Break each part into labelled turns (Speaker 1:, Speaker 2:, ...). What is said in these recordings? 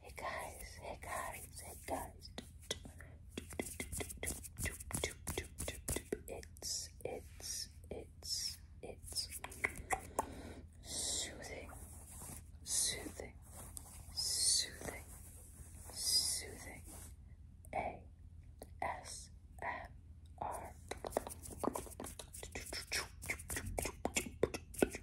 Speaker 1: Hey guys, hey guys, hey guys. It's, it's, it's, it's soothing, soothing, soothing, soothing. A S M R.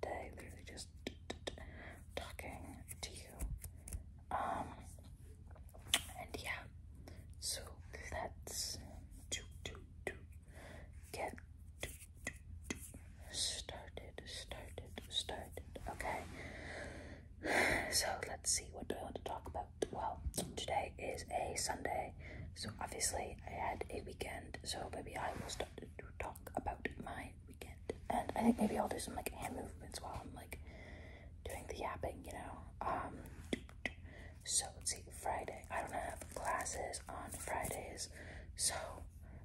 Speaker 1: today, literally just talking to you. Um, and yeah, so let's do, do, do, get do, do, do, started, started, started. Okay, so let's see what do I want to talk about. Well, today is a Sunday, so obviously I had a weekend, so maybe I will start talk about my weekend. And I think maybe I'll do some like hand movements while I'm like doing the yapping, you know. Um so let's see, Friday. I don't have classes on Fridays, so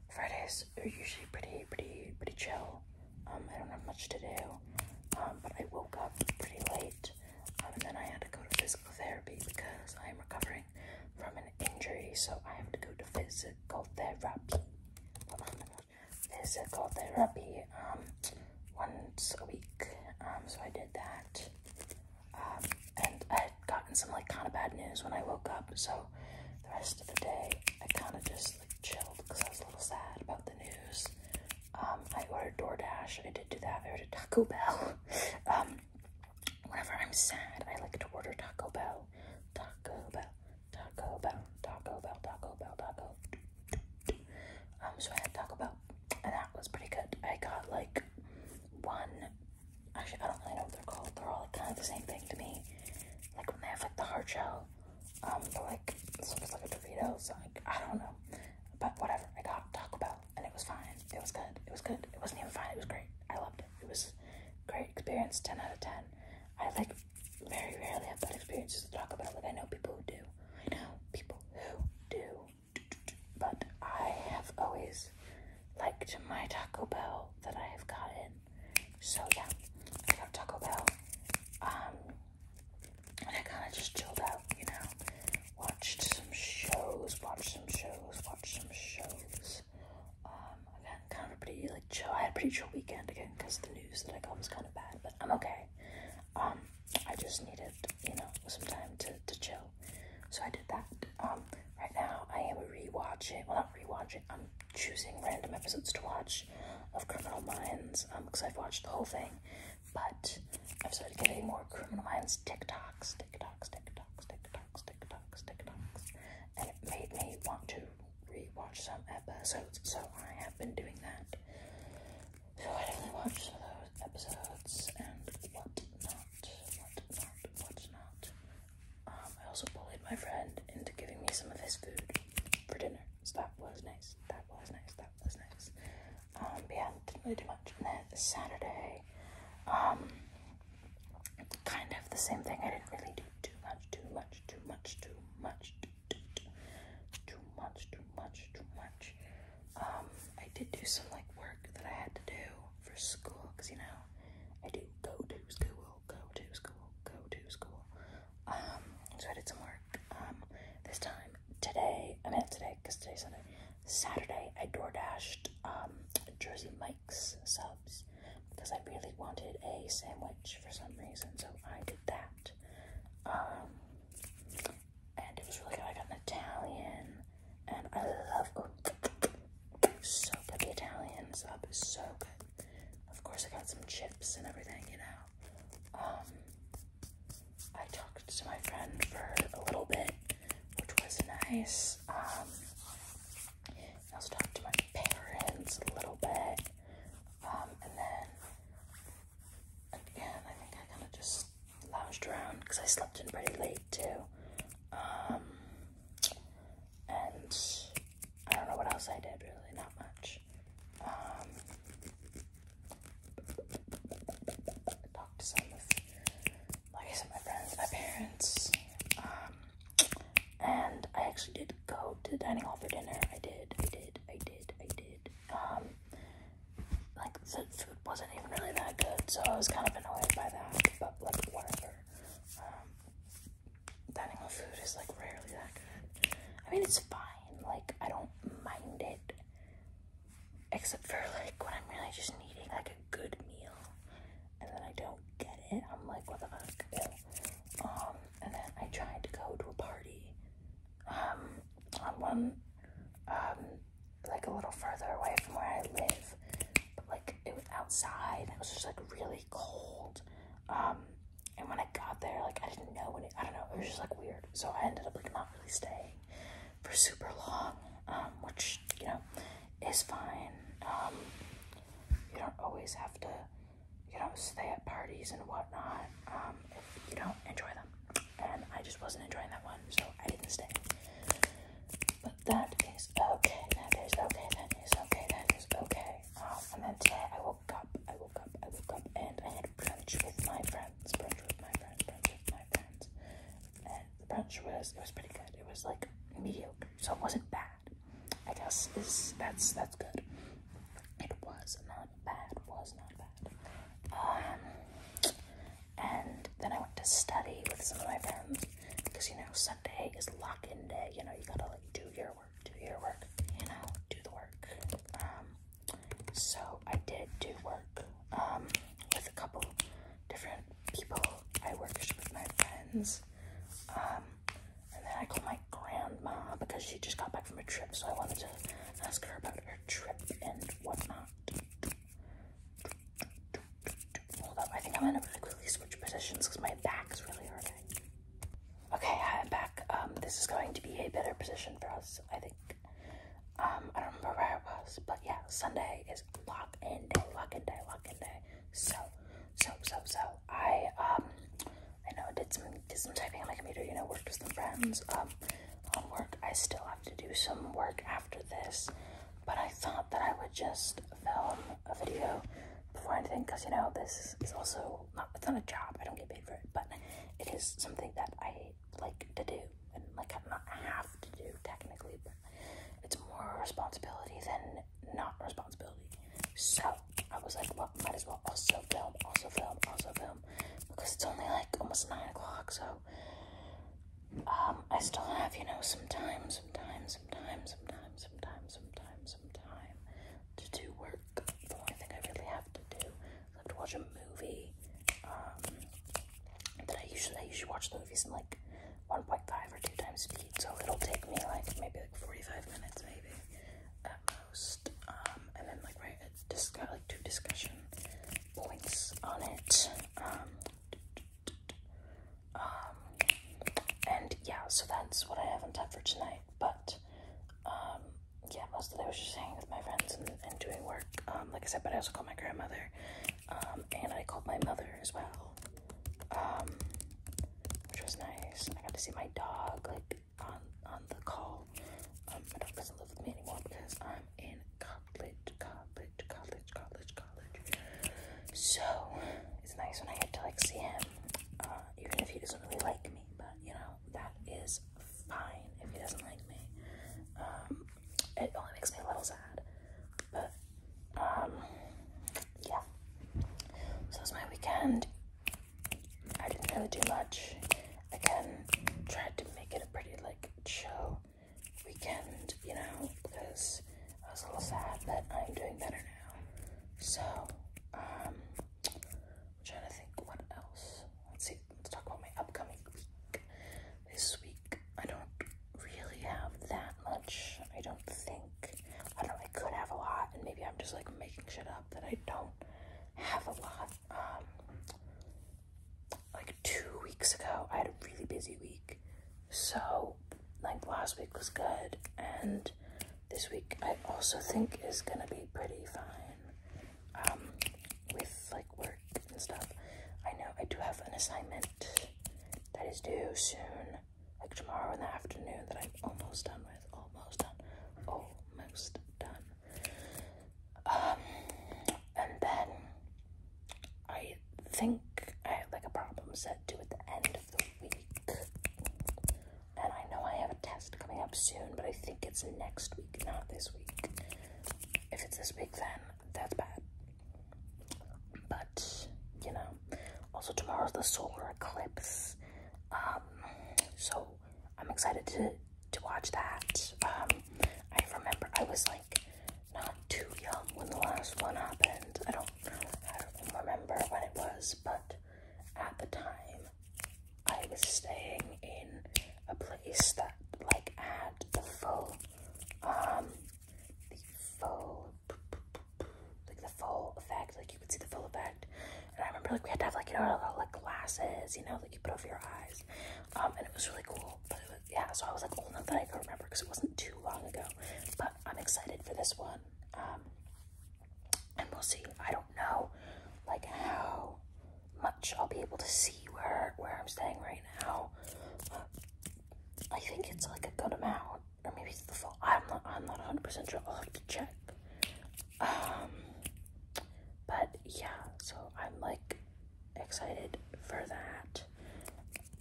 Speaker 1: Fridays are usually pretty pretty pretty chill. Um I don't have much to do. Um but I woke up pretty late. Um, and then I had to go to physical therapy because I'm recovering from an injury, so I have to go to physical therapy. Oh physical therapy um, once a week. Um, so I did that. Um, and I had gotten some like kind of bad news when I woke up, so the rest of the day I kind of just like chilled because I was a little sad about the news. I ordered DoorDash. I did do that. I ordered Taco Bell. Whenever I'm sad, I like to order Taco Bell. Taco Bell, Taco Bell, Taco Bell, Taco Bell, Taco. Um, so I had Taco Bell, and that was pretty good. I got like one. Actually, I don't really know what they're called. They're all like, kind of the same thing to me. Like when they have like the hard shell, um, but like it's sort of like a Dorito. So like I don't know, but whatever. I got Taco Bell and it was fine. It was good. It was good. It wasn't even fine. It was great. I loved it. It was great experience. Ten out of ten. I like very rarely have bad experiences to talk about. Like I know people who do. I know people who do. But I have always liked my Taco Bell that I have gotten. So yeah, I got Taco Bell. Um, and I kind of just chilled out, you know watched some shows, watched some shows, watched some shows. Um, again, kind of pretty like chill. I had a pretty chill weekend again because the news that I got was kind of bad, but I'm okay. Um, I just needed you know some time to to chill, so I did that. Um, right now I am rewatching. Well, not rewatching. I'm choosing random episodes to watch of Criminal Minds. Um, because I've watched the whole thing, but I've started getting more Criminal Minds TikToks, TikToks, tick tocks, tick tocks, tick tocks, tick tocks, and it made me want to rewatch some episodes. So I have been doing that. So I definitely watched some of those episodes and what not, what um, I also bullied my friend into giving me some of his food for dinner. So that was nice. That was nice. That was nice. Um, but yeah, didn't really do much. And then Saturday, um, kind of the same thing. I didn't really do too much, too much, too much, too much, too, much, too much, too much. Um, I did do some like work that I had to do for school because you know I do go to school, go to school, go to school. Um, so I did some work. this time today, I mean today because today's Sunday. Saturday, I door dashed um, Jersey Mike's subs because I really wanted a sandwich for some reason, so I did that. Um, and it was really good. I got an Italian, and I love oh, so good. The Italian sub is so good. Of course, I got some chips and everything, you know. Um, I talked to my friend for a little bit which was nice. Um, I also talked to my parents a little bit. Um, and then again, I think I kind of just lounged around because I slept in pretty late too. Um, and I don't know what else I did really, not much. Um, talked to some of like I said, my friends, my parents, um, and I actually did go to the dining hall for dinner. I did, I did, I did, I did. Um, like the food wasn't even really that good, so I was kind of annoyed by that. But like whatever. Um, dining hall food is like rarely that good. I mean, it's fine. Like I don't mind it except for like when I'm really just needing like a good meal and then I don't get it. I'm like, what the fuck? Um, and then I tried to go to a party um, on one, um, like a little further away from where I live, but like it was outside and it was just like really cold. Um, and when I got there, like I didn't know when I don't know, it was just like weird. So I ended up like not really staying for super long, um, which you know is fine. Um, you don't always have to, you know, stay at parties and whatnot um, if you don't enjoy them. And I just wasn't enjoying that one, so I didn't stay. But that is okay. That is okay. That is okay. That is okay. Um, and then today I woke up. I woke up. I woke up, and I had brunch with my friends. Brunch with my friends. Brunch with my friends and the brunch was it was pretty good. It was like mediocre, so it wasn't bad. I guess is that's that's good. It was not bad. Was not bad. Um, and then I went to study with some of my friends because you know Sunday is lock-in day. You know you gotta like do your work, do your work. You know do the work. Um, so I did do work um, with a couple different people. I worked with my friends. Um, and then I called my grandma because she just got back from a trip. So I wanted to ask her about her trip and whatnot. Hold up, I think I'm gonna really quickly switch positions because my back is really hurting. Okay, I'm back. Um, this is going to be a better position for us, I think. Um, I don't remember where it was, but yeah, Sunday is lock in day, lock in day, lock in day. So, so, so, so, I, um, I know did some, did some typing on my computer, you know, worked with some friends, um, on work. I still have to do some work after this, but I thought that I would just film a video before anything, because, you know, this is also not, it's not a job, I don't get paid for it, but it is something that I like to do, and like I'm not have to do technically, but it's more responsibility than not responsibility. So I was like, well, might as well also film, also film, also film, because it's only like almost nine o'clock. So um, I still have you know some time, some time, some time, some time, some time, some time, some time to do work. The only thing I really have to do love to watch a movie. Um, that I usually I usually watch the movies in like 1.5 or 2 times speed, so it'll take me like maybe like 45 minutes maybe at most. Um, and then like right, it's got like two discussion points on it. Um, um and yeah, so that's what I haven't had for tonight. But um, yeah, mostly I was just hanging with my friends and, doing work. Um, like I said, but I also called my grandmother, um, and I called my mother as well, um, which was nice. I got to see my dog like on on the call. Um, my dog doesn't live with me anymore because I'm in college, college, college, college, college. So it's nice when I get to like see him, uh, even if he doesn't really like me. But you know, that is fine if he doesn't like me. Um, it only makes me a little sad, but um, yeah. So it's my weekend. I didn't really do much. Again, tried to make it a pretty like chill weekend, you know, because I was a little sad, but I'm doing better now. So, um, I'm trying to think what else let's see, let's talk about my upcoming week. This week, I don't really have that much. I don't think. I don't know, I could have a lot, and maybe I'm just like making shit up that I don't have a lot. Um, like two weeks ago, I had a really busy week. So, like last week was good, and this week I also think is gonna be pretty fine. Um, with like work and stuff. I know I do have an assignment that is due soon, like tomorrow in the afternoon, that I'm almost done with. Almost done. Almost done. Um, and then I think I have like a problem set due at the end of the week. And I know I have a test coming up soon, but I think it's next week, not this week. If it's this big, then that's bad. But, you know, also tomorrow's the solar eclipse. Um, so I'm excited to, to watch that. Um, I remember I was like not too young when the last one happened. I don't, I don't remember when it was, but at the time, I was staying in a place that like had the full um the full like the full effect, like you could see the full effect. And I remember like we had to have like you know like glasses, you know, like you put over your eyes. Um and it was really cool. But yeah, so I was like old enough that I could remember because it wasn't too long ago. But I'm excited for this one. Um and we'll see. I don't know like how much I'll be able to see where where I'm staying right now. I think it's like a good amount, or maybe it's the full. I'm not. I'm not 100 percent sure. I'll have to check. Um, but yeah, so I'm like excited for that.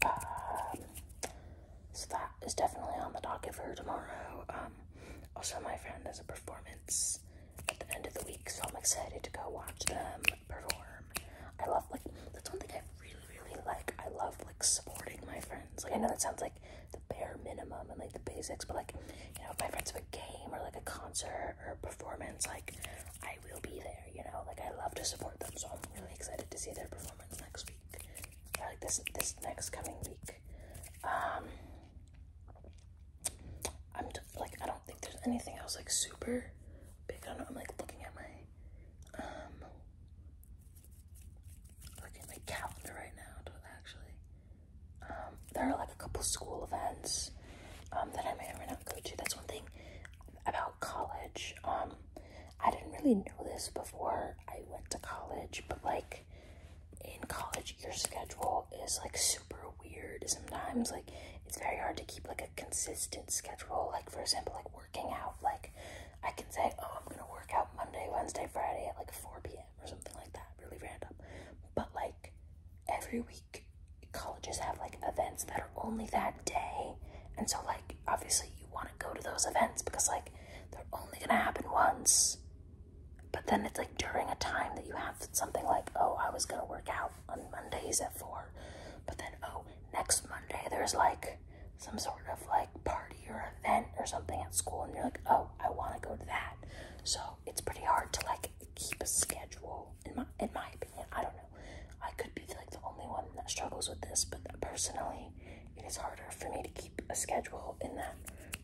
Speaker 1: Um, so that is definitely on the docket for tomorrow. Um, also my friend has a performance at the end of the week, so I'm excited to go watch them perform. I love like that's one thing I really really like. I love like supporting my friends. Like I know that sounds like the bare minimum and like the basics, but like you know if my friends have a game or like a concert or performance, like I will be there. You know, like I love to support them, so I'm really excited to see their performance next week. like this this next coming week. Um, I'm just like I don't think there's anything else like super big. I don't know. I'm like looking at my um looking at my calendar right now to actually. Um, there are like a couple school events um that I may or may not go to. That's one thing about college. Um I didn't really know this before I went to college, but like in college your schedule is like super weird sometimes like it's very hard to keep like a consistent schedule like for example like working out like i can say oh i'm gonna work out monday wednesday friday at like 4 p.m or something like that really random but like every week colleges have like events that are only that day and so like obviously you want to go to those events because like they're only gonna happen once but then it's like during a time that you have something like, oh, I was gonna work out on Mondays at four, but then oh, next Monday there's like some sort of like party or event or something at school, and you're like, oh, I want to go to that. So it's pretty hard to like keep a schedule. In my in my opinion, I don't know. I could be like the only one that struggles with this, but personally, it is harder for me to keep a schedule in that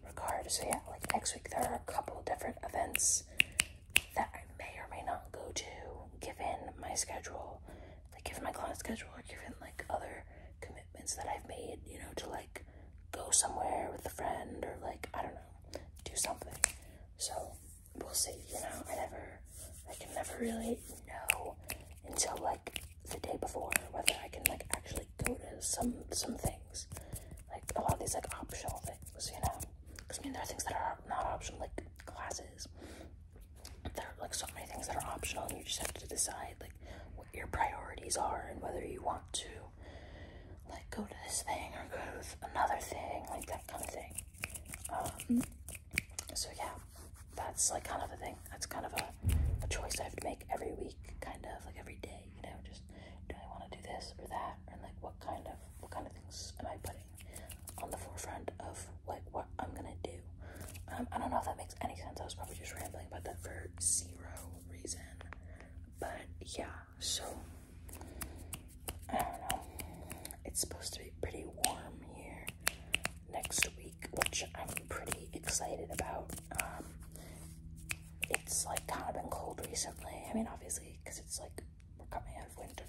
Speaker 1: regard. So yeah, like next week there are a couple different events that I may or may not go to given my schedule, like given my client schedule or given like other commitments that I've made, you know, to like go somewhere with a friend or like, I don't know, do something. So we'll see, you know, I never, I can never really know until like the day before whether I can like actually go to some, something like a lot of these like optional things, you know. Because I mean, there are things that are not optional, like classes. There are like so many things that are optional, and you just have to decide like what your priorities are and whether you want to like go to this thing or go to another thing, like that kind of thing. Um, so yeah, that's like kind of a thing. That's kind of a choice I have to make every week, kind of like every day you know, just do I want to do this or that, and like what kind of what kind of things am I putting on the forefront of like what I'm gonna do. Um, I don't know if that makes any sense. I was probably just rambling about that for zero reason, but yeah. So I don't know. It's supposed to be pretty warm here next week, which I'm pretty excited about. Um, it's like kind of been cold recently. I mean, obviously, because it's like we're coming out of winter.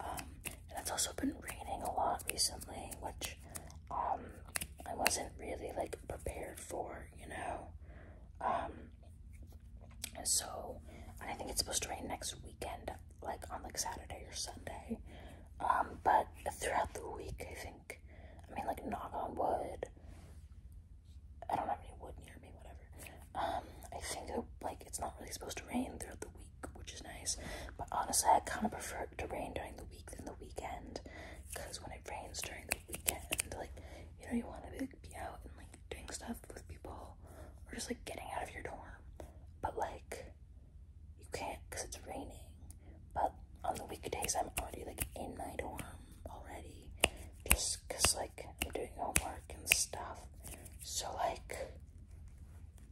Speaker 1: Um, and it's also been raining a lot recently, which um, I wasn't really like prepared for, you know. Um, so I think it's supposed to rain next weekend, like on like Saturday or Sunday. Um, but throughout the week, I think, I mean, like knock on wood, I don't have any wood near me, whatever. Um, I think like it's not really supposed to rain throughout the week, which is nice. But honestly, I kind of prefer it to rain during the week than the weekend, because when it rains during the weekend, like you know, you want to be, be out and like doing stuff with people, or just like getting out of your dorm. But like, you can't because it's raining, but on the weekdays I'm already like in my dorm already just because like I'm doing homework and stuff so like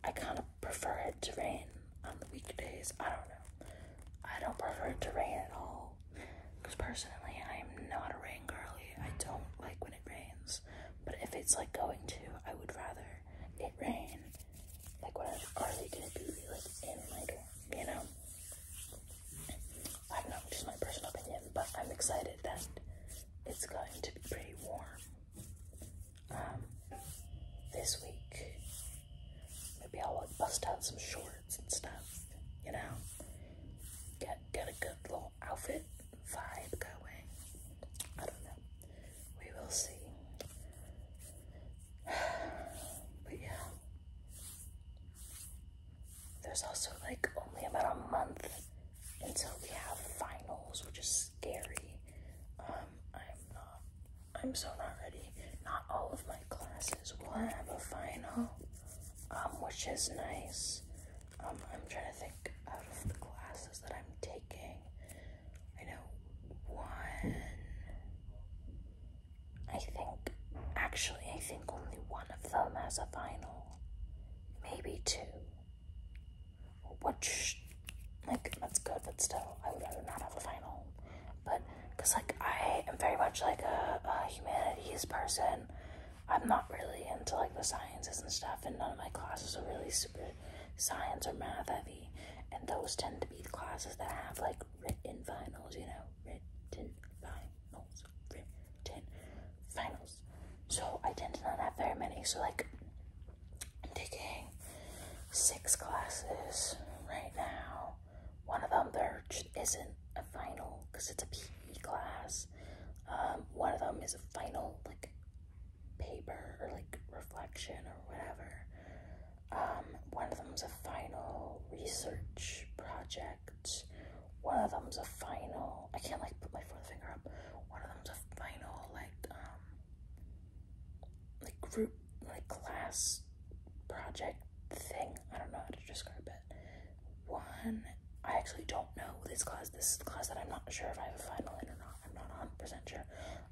Speaker 1: I kind of prefer it to rain on the weekdays I don't know I don't prefer it to rain at all because personally I'm not a rain girly I don't like when it rains but if it's like going to I would rather it rain like when I'm already gonna be like in my you know I don't know, just my personal opinion, but I'm excited that it's going to be pretty warm um, this week. Maybe I'll bust out some shorts and stuff, you know? Get, get a good little outfit vibe going. I don't know. We will see. But yeah. There's also like only about a month until we have finals, which is scary. Um, I'm not, I'm so not ready. Not all of my classes will have a final, um, which is nice. Um, I'm trying to think out of the classes that I'm taking. I know one, I think, actually, I think only one of them has a final. Maybe two. Which, like, that's good, but still, I would rather not have a final. But, because, like, I am very much like a, humanities person. I'm not really into, like, the sciences and stuff, and none of my classes are really super science or math heavy. And those tend to be the classes that have, like, written finals, you know? written finals, written finals. So I tend to not have very many. So like I'm taking six classes right now. One of them there isn't a final because it's a PE class. Um, one of them is a final like paper or like reflection or whatever. Um, one of them is a final research project. One of them is a final. I can't like put my forefinger up. One of them is a final like um like group like class project thing. I don't know how to describe it. One I actually don't know this class. This is the class that I'm not sure if I have a final in or not. I'm not 100% sure.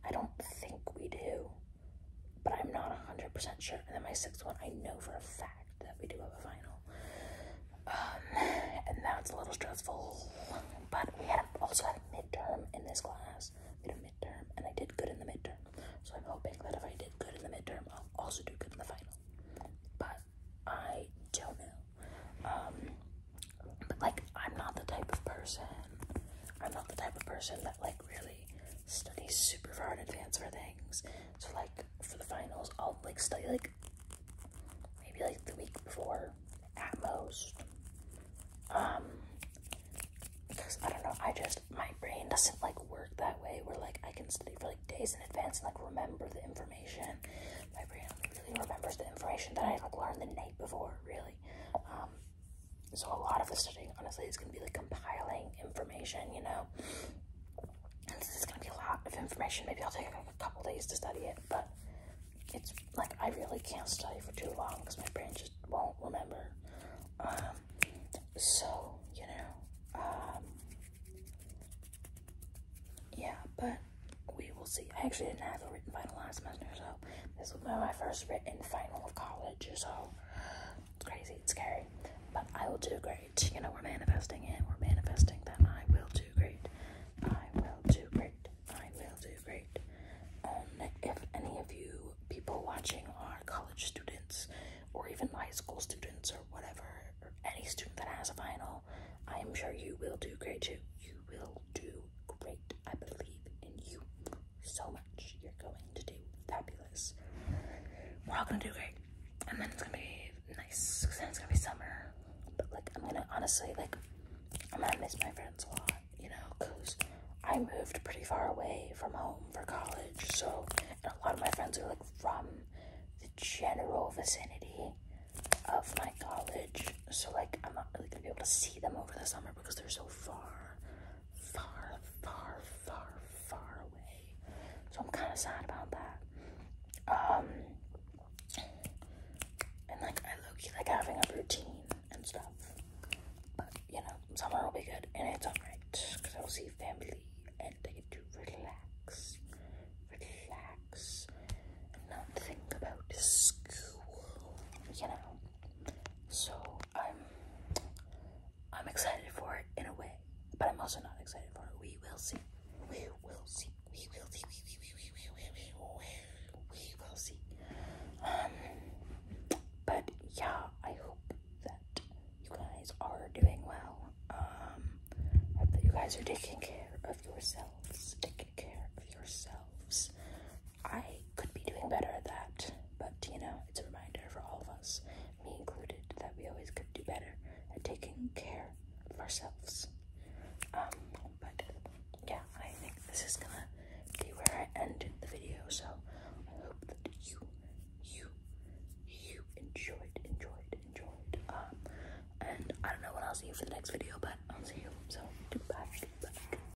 Speaker 1: I don't think we do but I'm not 100% sure. And then my sixth one, I know for a fact that we do have a final. Um, and that's a little stressful. But we had also had a midterm in this class. We had a midterm, and I did good in the midterm. So I'm hoping that if I did good in the midterm, I'll also do good in the final. But I don't know. Um, but like, I'm not the type of person. I'm not the type of person that like really study super far in advance for things. So like for the finals, I'll like study like maybe like the week before at most. Um, because I don't know, I just my brain doesn't like work that way where like I can study for like days in advance and like remember the information. My brain really remembers the information that I like learned the night before, really. Um, so a lot of the studying, honestly, is going to be like compiling information, you know? And this is going to be a lot of information. Maybe I'll take a couple days to study it, but it's like I really can't study for too long because my brain just won't remember. Um, so, you know, um, yeah, but we will see. I actually didn't have a written final last semester, so this will be my first written final of college, so it's crazy, it's scary. But I will do great. You know, we're manifesting and We're manifesting that I will do great. I will do great. I will do great. Um, if any of you people watching are college students or even high school students or whatever, or any student that has a final, I am sure you will do great too. You will do great. I believe in you so much. You're going to do fabulous. We're all gonna do great. And then it's gonna be nice. because Then it's gonna be summer. But like, I'm gonna honestly, like, I'm gonna miss my friends a lot, you know, because I moved pretty far away from home for college. So, a lot of my friends are like from the general vicinity of my college. So, like, I'm not really gonna be able to see them over the summer because they're so far far, far, far, far away. So I'm kind of sad about that. Um, and like I low like having a routine and stuff. But you know, summer will be good, and it's alright because I will see family and I get to relax, relax, and not think about school. You know. So I'm I'm excited for it in a way, but I'm also not excited for it. We will see. We will see. We will see. We, will see. Um, but yeah, I hope that you guys are doing well. Um, hope that you guys are taking care of yourselves. Taking care of yourselves. I could be doing better at that, but you know, it's a reminder for all of us, me included, that we always could do better at taking care of ourselves. Um, but yeah, I think this is gonna be where I end the video, so I hope that you, you, you enjoyed, enjoyed, enjoyed. Um, and I don't know what I'll see you for the next video, but I'll see you. So, goodbye.